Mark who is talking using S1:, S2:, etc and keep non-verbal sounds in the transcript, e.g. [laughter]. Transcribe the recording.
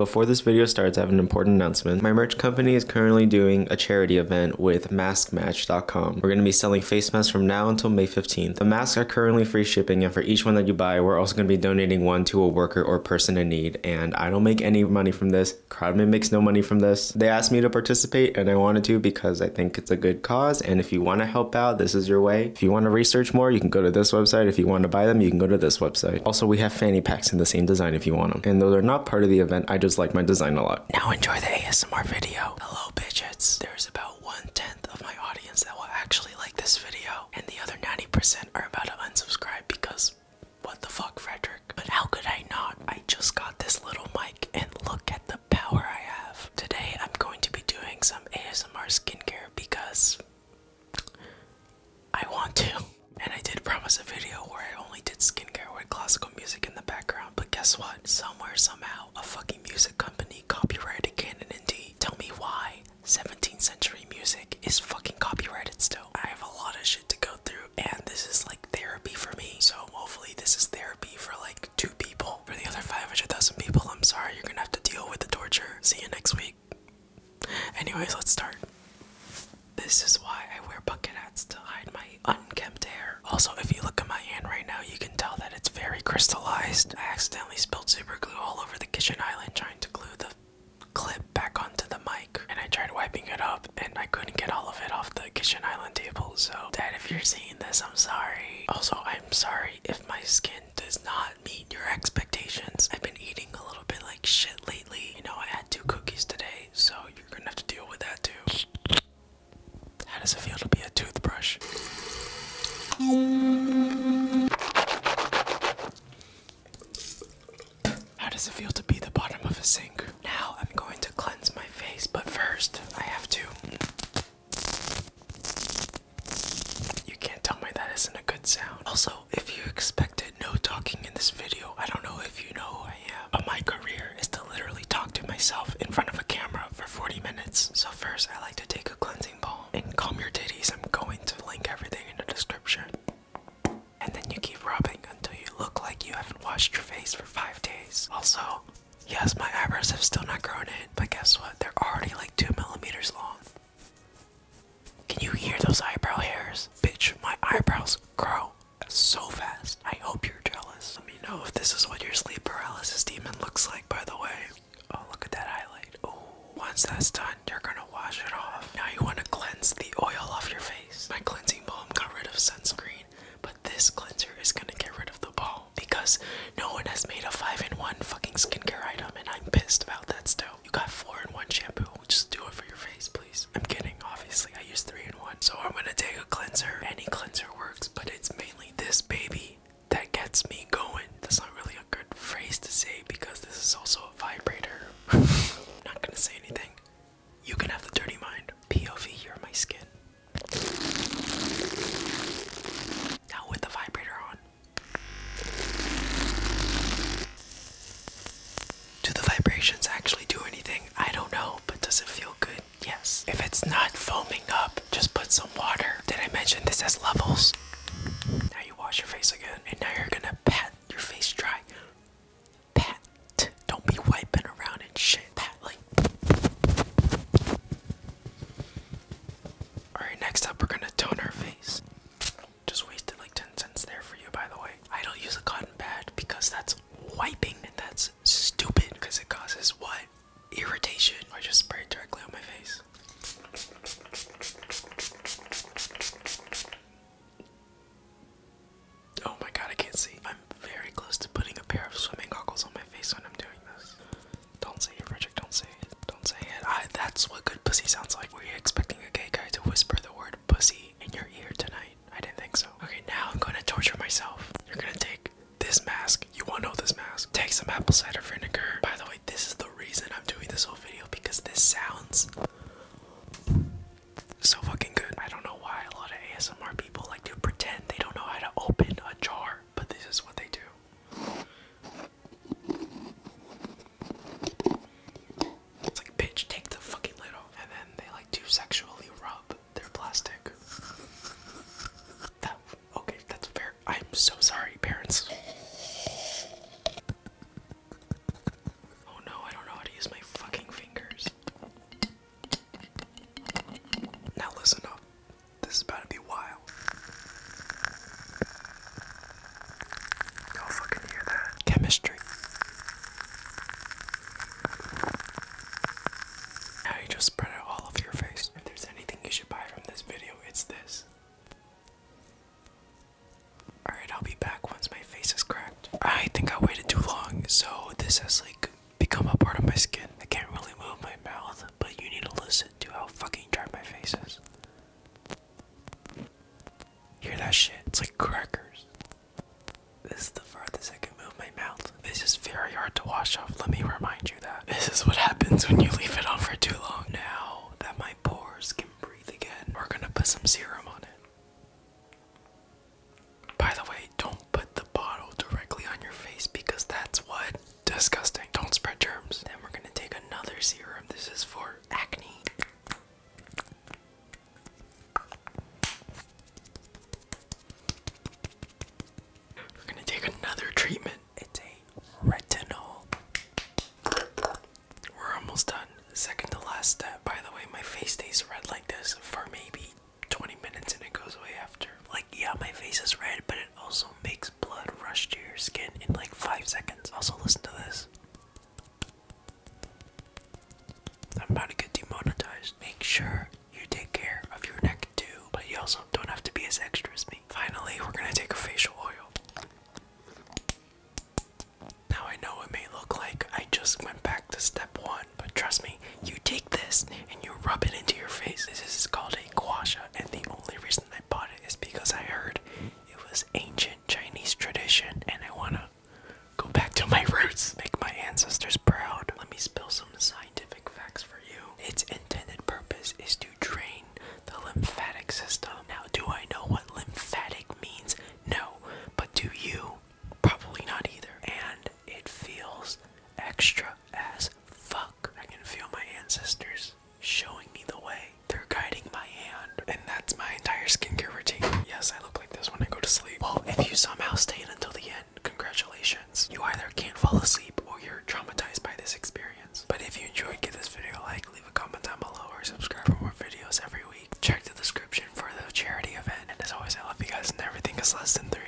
S1: Before this video starts, I have an important announcement. My merch company is currently doing a charity event with maskmatch.com. We're going to be selling face masks from now until May 15th. The masks are currently free shipping and for each one that you buy, we're also going to be donating one to a worker or person in need and I don't make any money from this. Crowdman makes no money from this. They asked me to participate and I wanted to because I think it's a good cause and if you want to help out, this is your way. If you want to research more, you can go to this website. If you want to buy them, you can go to this website. Also, we have fanny packs in the same design if you want them. And though they're not part of the event, I just like my design a lot. Now enjoy the ASMR video. Hello, bitches. There's about one-tenth of my audience that will actually like this video. And the other 90% are about to unsubscribe because what the fuck, Frederick? But how could I not? I just got this little mic and look at the power I have. Today, I'm going to be doing some ASMR skincare because I want to. And I did promise a video where I only did skincare with classical music in the background, but guess what? Somewhere, somehow, a fucking music company copyrighted Canon and D. Tell me why 17th century music is fucking copyrighted still. I have a lot of shit to go through, and this is like therapy for me. So hopefully, this is therapy for like two people. For the other 500,000 people, I'm sorry you're gonna have to deal with the torture. See you next week anyways let's start this is why i wear bucket hats to hide my unkempt hair also if you look at my hand right now you can tell that it's very crystallized i accidentally spilled super glue all over the kitchen island trying to glue the clip back onto the mic and i tried wiping it up and i couldn't get all of it off the kitchen island table so dad if you're seeing this i'm sorry also i'm sorry if my skin does not meet your expectations i've been eating a little bit like shit lately. You know, I had two cookies today, so you're gonna have to deal with that too. How does it feel to be a toothbrush? How does it feel to be the bottom of a sink? Now I'm going to cleanse my face, but first I have to. You can't tell me that isn't a good sound. Also, if you expected no talking in this video, I don't know if you know who I am, but my career is to literally talk to myself in front of a camera for 40 minutes. So, first, I like to take a cleansing balm and calm your titties. I'm going to link everything in the description. And then you keep rubbing until you look like you haven't washed your face for five days. Also, yes, my eyebrows have still not grown in, but guess what? They're already like two millimeters long. Can you hear those eyebrow hairs? Bitch, my eyebrows grow so fast. I hope you're jealous. Let me know if this is what your sleep paralysis demon looks like, by the way. Oh, look at that highlight. Oh, once that's done, you're gonna wash it off. Now you wanna cleanse the oil off your face. My cleansing balm got rid of sunscreen, but this cleanser is gonna get rid of the balm because no one has made a 5 in 1 fucking skincare item, and I'm pissed about that still. You got 4 in 1 shampoo, just do it for your face, please. I'm kidding, obviously. I use three in one. So I'm gonna take a cleanser. Any cleanser works, but it's mainly this baby that gets me going. That's not really a good phrase to say because this is also a vibrator. I'm [laughs] not gonna say anything. You can have the dirty mind. POV, you're my skin. Now with the vibrator on. Do the vibrations actually do anything? I don't know, but does it feel good? Yes. If it's not foaming up, just put some water. Did I mention this has levels? Now you wash your face again, and now you're gonna pat your face dry. Pat. Don't be wiping around and shit. Pat like. Alright, next up, we're gonna tone our face. Just wasted like 10 cents there for you, by the way. I don't use a cotton pad because that's wiping and that's stupid because it causes what? Irritation. I just spray it directly on my face. Oh my god, I can't see. I'm very close to putting a pair of swimming goggles on my face when I'm doing this. Don't say it, Frederick. Don't say it. Don't say it. that's what good pussy sounds like. Were you expecting a gay guy to whisper the word pussy in your ear tonight. I didn't think so. Okay, now I'm gonna torture myself. You're gonna take this mask. You want to know this mask. Take some apple cider vinegar. By the way, this is the reason I'm doing this whole video because this sounds so fucking good. I don't know why a lot of ASMR people like to pretend they don't know how to open a jar, but this is what they do. It's like, bitch, take the fucking lid off. And then they like do sexually rub their plastic. okay, that's fair. I'm so sorry, parents. Oh no, I don't know how to use my fucking fingers. Now listen up. This is about to be wild. Chemistry. Now you just spread it all over your face. If there's anything you should buy from this video, it's this. Alright, I'll be back once my face is cracked. I think I waited too long, so this has like become a part of my skin. I can't really move my mouth, but you need to listen to how fucking dry my face is. Hear that shit? It's like crackers. This is the farthest I can move my mouth. This is very hard to wash off. Let me remind you that. This is what happens when you leave it on for too long. Now that my pores can breathe again, we're gonna put some serum on it. By the way, don't put the bottle directly on your face because that's what? Disgusting. Don't spread germs. Then we're gonna take another serum. This is for acne. We're gonna take another treatment. It's a retinol. We're almost done. Second to last step. By the way, my face stays red like this for maybe 20 minutes and it goes away after. Like, yeah, my face is red, but it also makes blood rush to your skin in like 5 seconds. Also, listen to this. I'm about to get demonetized. Make sure you take care of your neck too, but you also don't have to be as extra as me. Finally, we're gonna take a facial oil. Now I know it may look like I just went back to step one, but trust me, you take this and you rub it into your face. This is called a guasha, and the only reason I bought it is because I heard it was ancient Chinese tradition, and I wanna Go back to my roots. Make my ancestors proud. Let me spill some scientific facts for you. Its intended purpose is to drain the lymphatic system. Now, do I know what lymphatic means? No. But do you? Probably not either. And it feels extra as fuck. I can feel my ancestors showing me the way. They're guiding my hand. And that's my entire skincare routine. Yes, I look this when I go to sleep. Well, if you somehow stayed until the end, congratulations. You either can't fall asleep or you're traumatized by this experience. But if you enjoyed, give this video a like, leave a comment down below, or subscribe for more videos every week. Check the description for the charity event. And as always, I love you guys and everything is less than three.